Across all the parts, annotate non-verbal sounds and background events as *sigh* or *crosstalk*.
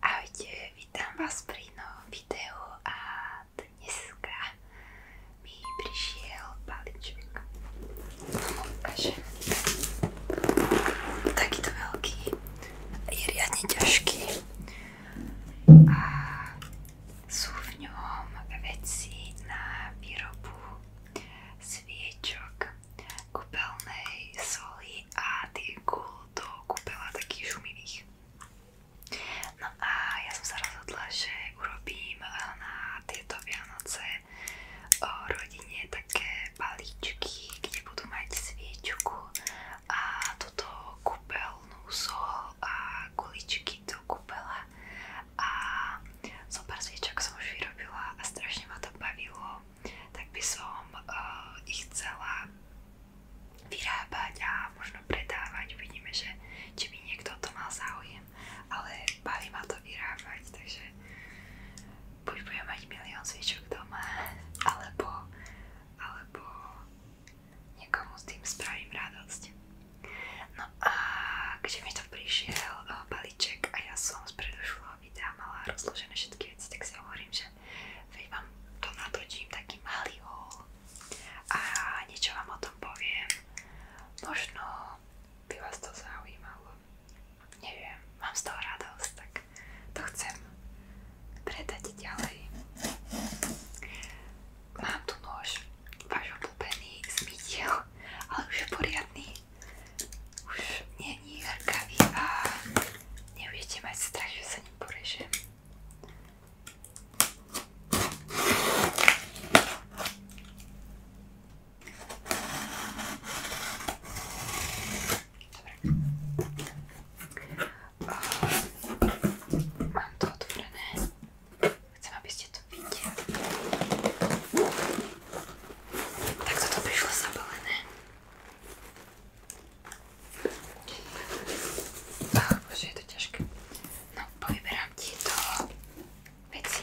Ahojte, vás pri novom videu a dneska mi prišiel balíček. ukážem. Takýto veľký je riadne ťažký a sú v ňom veci na výrobu sviečok, kúpeľnej soli a tých gul do kúpeľa takých šumivých. No a ja som sa rozhodla, že urobím na tieto Vianoce o rodine také balíčky, kde budú mať sviečku a toto kúpeľnú sol a guličky do kúpela a zo pár sviečok som už vyrobila a strašne ma to bavilo, tak by som uh, ich chcela vyrábať a možno predávať, uvidíme, že či by niekto o to mal záujem, ale baví ma to vyrábať, takže buď budem mať milión sviečok doma, alebo, alebo niekomu s tým spravím radosť. No a keď mi to prišiel o, balíček a ja som z predošlého videa mala rozložené všetky veci, tak si hovorím, že veď vám to natočím taký malý haul a niečo vám o tom poviem. Možno by vás to zaujímalo neviem, mám z toho radosť, tak to chcem predať ďalej. Mám tu nôž, váš obľúbený zmytiel, ale už je poriadny. Už není hrkavý a nebudete mať strach, že sa ním porežem. Um, mám to otvorené. Chcem, aby ste to videli. Tak toto prišlo zabalené. Oh, bože, je to ťažké. No, povyberám tieto veci.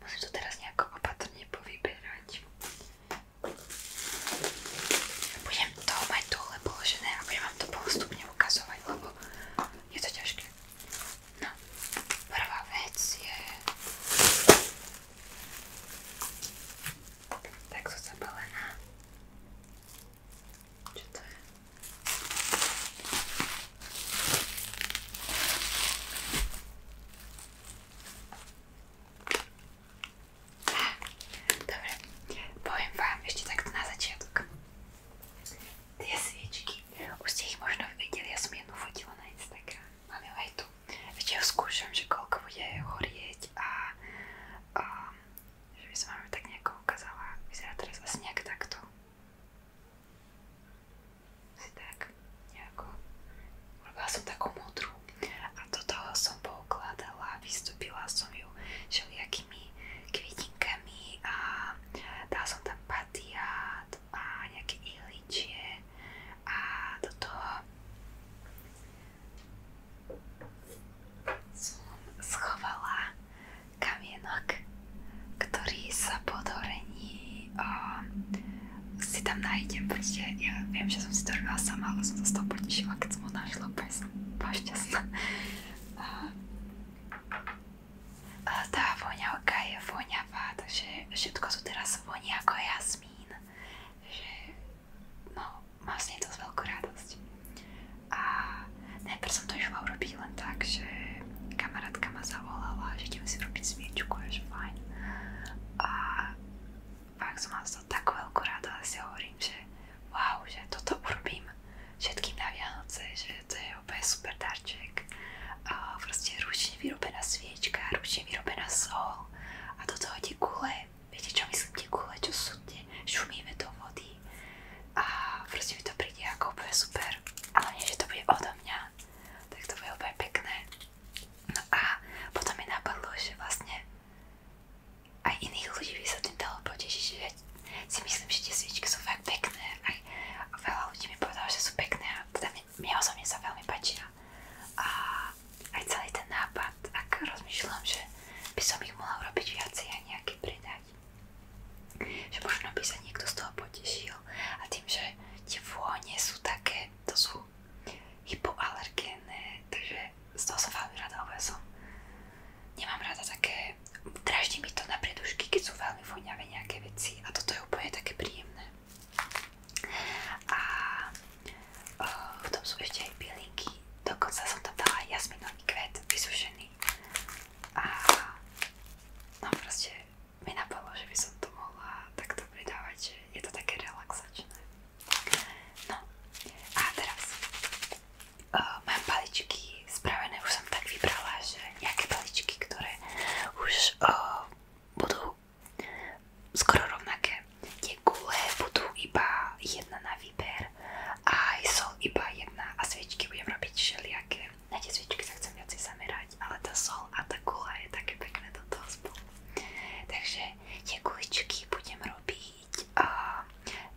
Musím to teraz nejako opatrne povyberať. Budem to mať dole položené a budem vám to postupne ukazovať, lebo je to ťažké. No, prvá vec je... Takto zabalená. Čo to je? Ah, dobre, poviem vám ešte takto na začiatok. Tie sviečky, už ste ich možno videli, ja som jednu fotila na Instagram. Mám ju aj tu. Ešte ju skúšam, že koľko bude horieť a um, že by som vám tak nejako ukázala, vyzerá teraz asi nejak takto. Si tak nejako, urobila som takú modrú a do toho som poukladala, vystúpila som ju všelijakými kvitinkami a dala som tam patiát a nejaké ihličie a do toho som schovala kamienok, ktorý sa po dorení si tam nájdem, proste ja viem, že som si to robila sama, ale som sa z toho potešila, keď som ho našla, úplne som bola šťastná. A, a tá voňavka je voňavá, takže všetko sú teraz voní ako jazmín, že no, mám s nej dosť veľkú radosť. A najprv som to išla urobiť len tak, ma zavolala, že idem si robiť sviečku a fajn. A fakt som mala z toho takú veľkú a si hovorím, že wow, že toto urobím všetkým na Vianoce, že to je úplne super darček. A proste ručne vyrobená sviečka, ručne vyrobená sol a do toho tie viete čo myslím, tie kule, čo sú tie, šumíme do vody a proste mi to príde ako úplne super. Ale nie, že to bude odo mňa, tak to bude úplne pekné. No a potom mi napadlo, že vlastne aj iných ľudí by sa tým dalo potešiť, že ja si myslím, že tie sviečky sú fakt pekné. Aj veľa ľudí mi povedalo, že sú pekné a teda mne, mne osobne sa veľmi páčia. A aj celý ten nápad a tak rozmýšľam, že by som ich mohla urobiť viacej a nejaké predať. Že možno by sa niekto z toho potešil a tým, že tie vône sú také, to sú hypoalergénne, takže z toho som veľmi rada, lebo ja som nemám rada také, draždí mi to na predušky, keď sú veľmi voňavé nejaké veci a toto je úplne také príjemné. A v tom sú ešte aj bylinky, dokonca som tam dala jasminový kvet vysušený a no proste mi napadlo, že by som to mohla takto pridávať, že je to také relaxačné. No a teraz uh, mám paličky spravené, už som tak vybrala, že nejaké paličky, ktoré už uh, budú skoro rovnaké Tie gule budú iba jedna na výber a aj sol iba jedna a sviečky budem robiť všelijaké. Na tie sviečky sa chcem viacej zamerať, ale tá sol a tá gula je také pekné do toho spolu. Takže tie guličky budem robiť uh,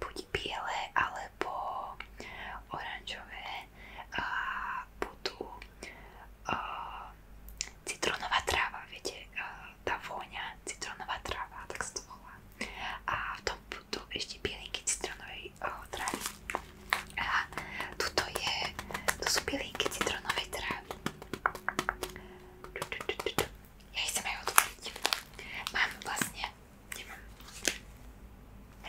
buď biele alebo oranžové a budú uh, citronová tráva, viete, uh, tá vôňa citrónová tráva, tak sa to volá. A v tom budú ešte bylinky citrónovej eh, trávy. A tuto je, to sú bylinky citrónovej trávy. Ja ich chcem aj otvoriť. Mám vlastne, nemám,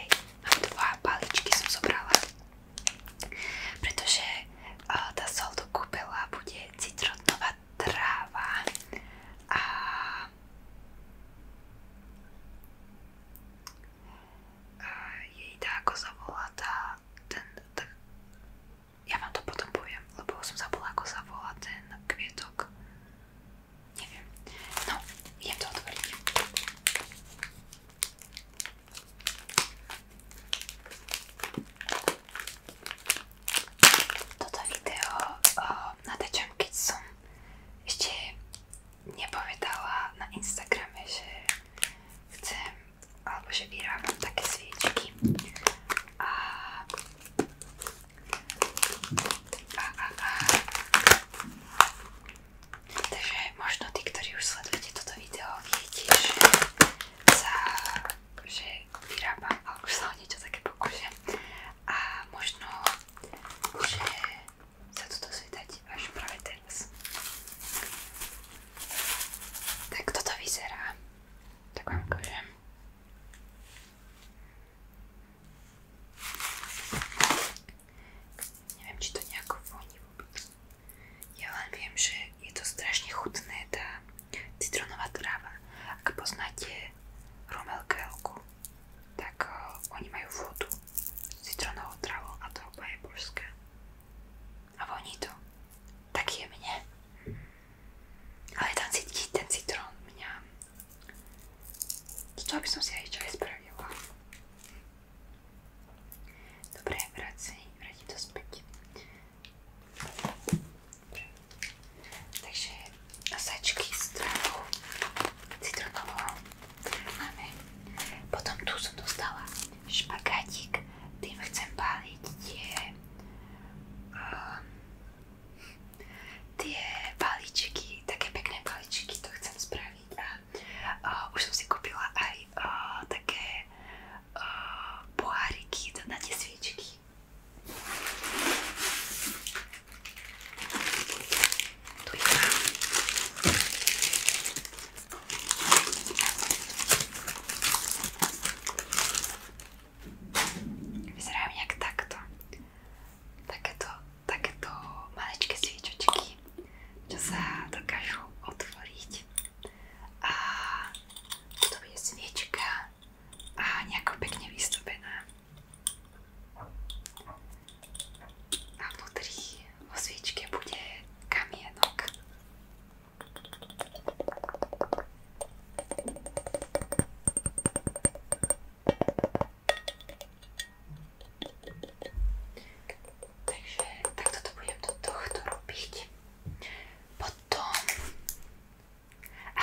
hej, mám dva paličky som zobrala, pretože eh, tá sol do kúpela bude citrónová tráva a jej tá, ako sa volá tá, ten, tá, ja vám to potom poviem, lebo som zabudla, ako sa volá ten kvietok. Neviem. No, idem to otvoriť toto video uh, natáčam, keď som ešte nepovedala na Instagrame, že chcem, alebo že vyrábam také sviečky. A, a, a, a. Takže možno tí, ktorí už sledujete toto video, viete, že sa, že vyrábam, alebo už sa o niečo také pokúšam a možno, že sa tu dozvedať až práve teraz. Tak toto vyzerá. Tak vám ukážem. Neviem, či to nejako voní vôbec. Ja len viem, že je to strašne chutné, tá citronová tráva. Ak poznáte rumelkelku, tak uh, oni majú vodu s citronovou trávou a to je božské. A voní to. Tak je mne. Ale tam cítiť ten citrón mňa. Z toho by som si aj čaj spravila. Dobre, vrátim to späť. Dobre. Takže sačky s trávou citronovou máme. Potom tu som dostala špagátik, tým chcem páliť tie um, tie paličky, také pekné paličky, to chcem spraviť a uh, už som si kúpila aj uh, také uh, poháriky na tie sviečky tu iba. Vyzerajú nejak takto. Takéto, takéto maličké sviečočky, čo sa dokážu otvoriť. A to bude sviečka a nejako pekne vystupená. A vnútri vo sviečke bude kamienok. Takže takto to budem do tohto robiť. Potom... A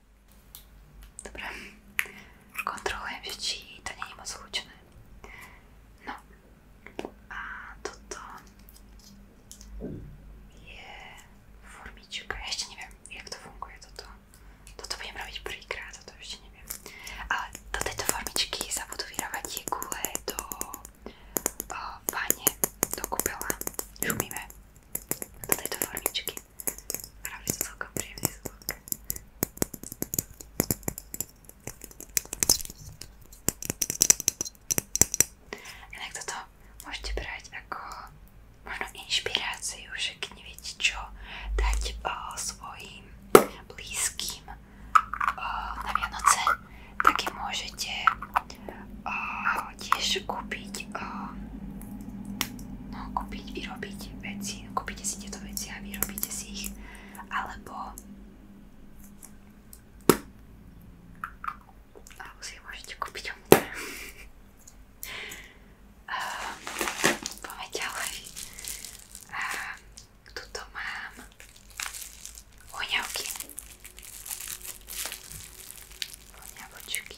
Dobre. Kontrolujem, že či to nie je moc hlučné. No. A toto je formička. Ja ešte neviem, jak to funguje toto. Toto budem robiť prvýkrát, toto ešte neviem. Ale do tejto formičky sa budú vyrábať tie gule do o, eh, vane, do kúpela. Šumíme do tejto formičky a robí to celkom príjemný zvuk. Inak toto môžete brať ako možno inšpiráciu, že keď neviete čo dať o, svojim blízkym o, na Vianoce, tak je môžete uh, tiež kúpiť uh, no kúpiť, vyrobiť veci kúpite si tieto veci a vyrobíte si ich alebo alebo si ich môžete kúpiť omne uh, *laughs* poďme ďalej uh, tuto mám voňavky voňavočky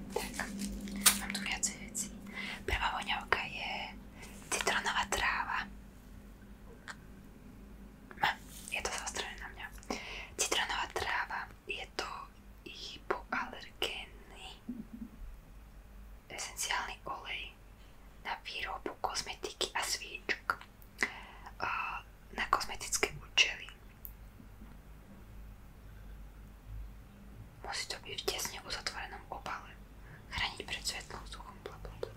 Tak, mám tu viacej veci. Prvá voňavka je citronová tráva. Je to zaostrené na mňa. Citronová tráva, je to hypoalergénny esenciálny olej na výrobu kozmetiky a svíčok na kozmetické účely. Musí to byť v tesne uzatvorenom obale. Chrániť pred svetlom, suchom, bla bla bla.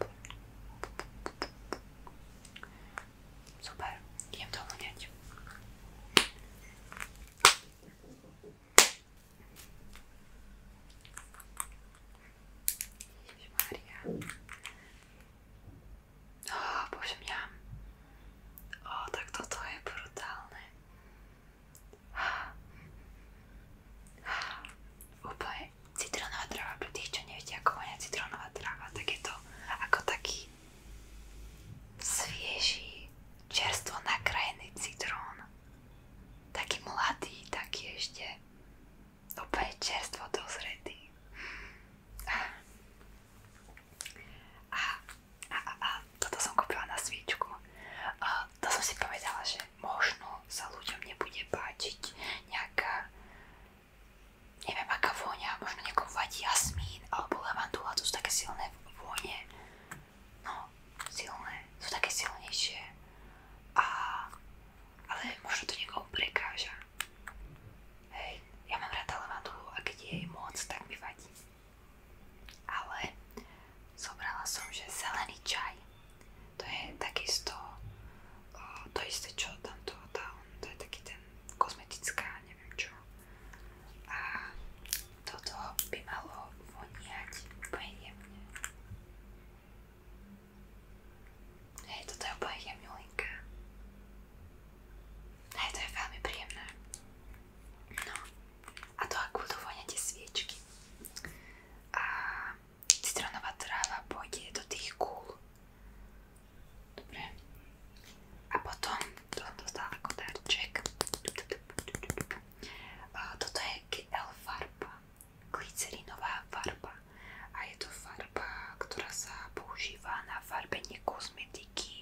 Super, idem to hľadať. Ježiš Mária. Oh, bože mňa. O, tak toto je brutálne. Úplne citrónová tráva pre tých, čo neviete, ako vonia citrónová tráva, tak je to ako taký svieži, čerstvo nakrajený citrón. Taký mladý, taký ešte úplne čerstvo dozretý. A a, a, a toto som kúpila na svíčku. A to som si povedala, že možno sa ľuďom nebude páčiť nejaká, neviem aká vôňa, možno niekomu vadí jasmín alebo levandula, to sú také silné vône. No, silné, sú také silnejšie. A, ale možno to niekomu prekáža. Hej, ja mám rada levandulu a keď je moc, tak mi vadí. Ale zobrala som, že zelený čaj, to je takisto o, to isté, čo tamto tá, to je taký ten kozmetická, neviem čo. A toto by malo voniať úplne jemne. Hej, toto je úplne jemňulinka. Hej, no, to je veľmi príjemné. No. A to ako budú voňať tie A citronová tráva pôjde do tých kúl. Dobre. A potom to dostala ako Toto je GL farba. Glycerinová farba. A je to farba, ktorá sa používa na farbenie kozmetiky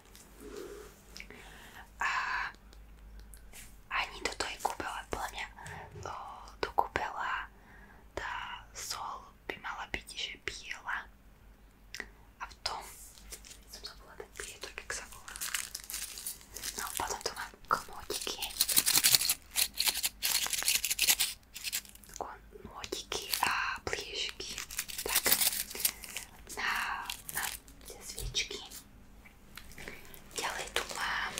iné. A ani toto je kúpela, podľa mňa o, do kúpela tá sol by mala byť, že biela a v tom som zabudla ten prietor, jak sa volá. No potom tu mám komódiky нотики, а ближки так, на, на свечки делай туман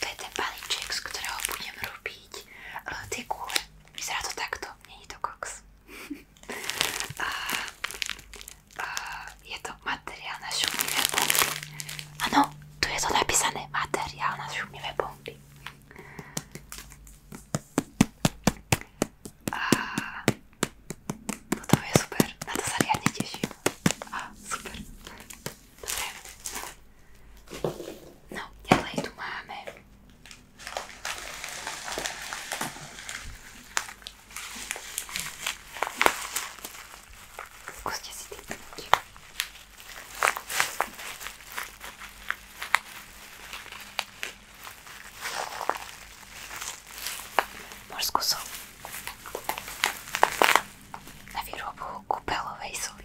to je ten balíček, z ktorého budem robiť uh, tie kule. Vyzerá to takto, nie je to koks. *laughs* a, a je to materiál na šumivé bomby. Ano, tu je to napísané, materiál na šumivé bomby. A potom no je super, na to sa riadne teším. A super. Dobre. No, ďalej tu máme Skúste si typnúť. Morskú sol na výrobu kúpelovej soli.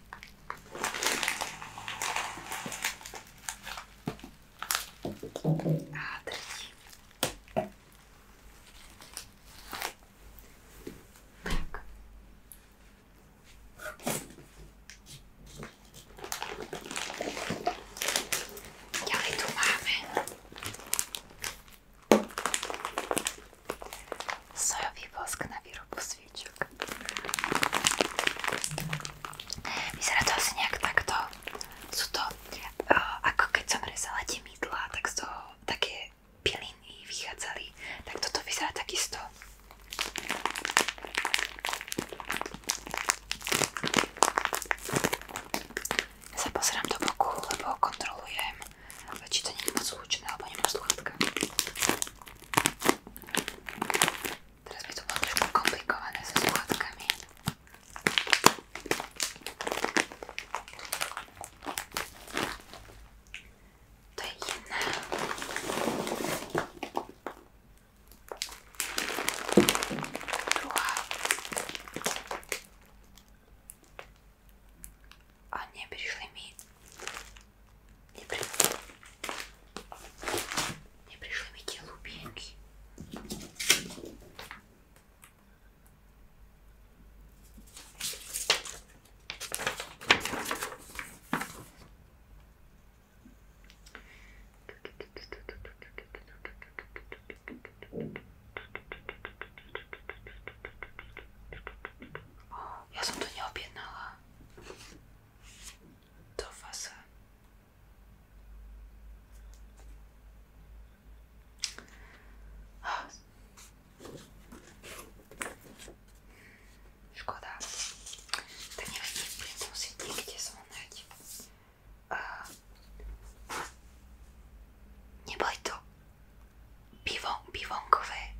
A tretí. Tak. Ďalej tu máme sojový vosk na výrobu sojového sviečok. Vyzerá to asi nejak takto. Sú to, uh, ako keď som rezala tie mydlá, tak z toho také piliny vychádzali. Tak toto vyzerá takisto. Ja sa pozerám do boku, lebo kontrolujem, či to nie je moc hlučné, alebo nemám sluchatka. Teraz by to bolo trošku komplikované so skladkami. To je jedna. Druhá. A neprišli mi Не, при... не пришло ведь голубенький. Я сам то не об'єднала. do Wasser. O. Škoda. Tak neviem, budem to musieť niekde zvonať. Uh, neboli to bivon, bivonkové.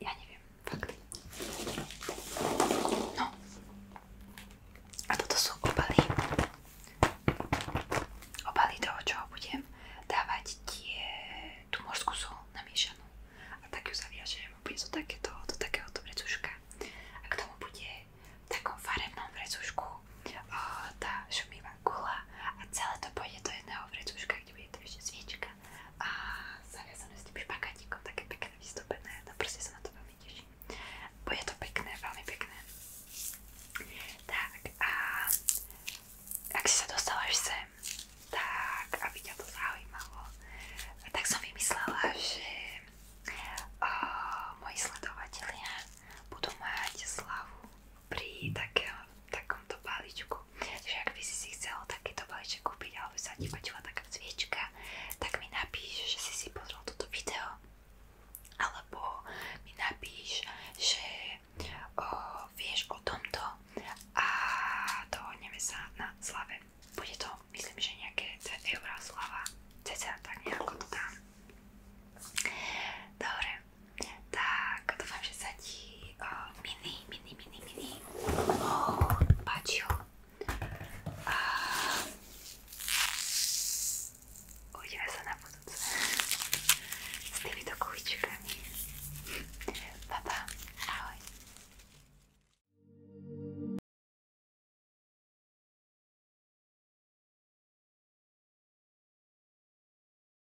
Ja neviem. Fakt. No. A toto sú obaly. Obaly toho, čo budem dávať tie, tú morskú sol namiešanú. A tak ju zaviažem. Bude to takéto, do takéhoto vrecuška. A k tomu bude v takom farebnom vrecušku tá šumivá gula a celé to pôjde do jedného vrecuška, kde bude to ešte sviečka tak a zaviazané s tým špagatíkom, také pekné vystúpené, no proste sa na to veľmi teším. Bude to pekné, veľmi pekné. Tak a ak si sa dostala až sem, tak aby ťa to zaujímalo, tak som vymyslela, že moji sledovatelia budú mať slavu pri takom, takomto balíčku. Takže ak by si si chcel takýto balíček kúpiť alebo sa ti páčila taká cviečka, tak mi napíš, že si si pozrel toto video alebo mi napíš, že o, vieš o tomto a dohodneme sa na slave. Bude to, myslím, že nejaké eurá slava, cca tak nejako to dám. Dobre, tak dúfam, že sa ti o, mini, Oh, páčil. A... Uvidíme sa na budúce. S týmito kuličkami. Pa, pa. Ahoj.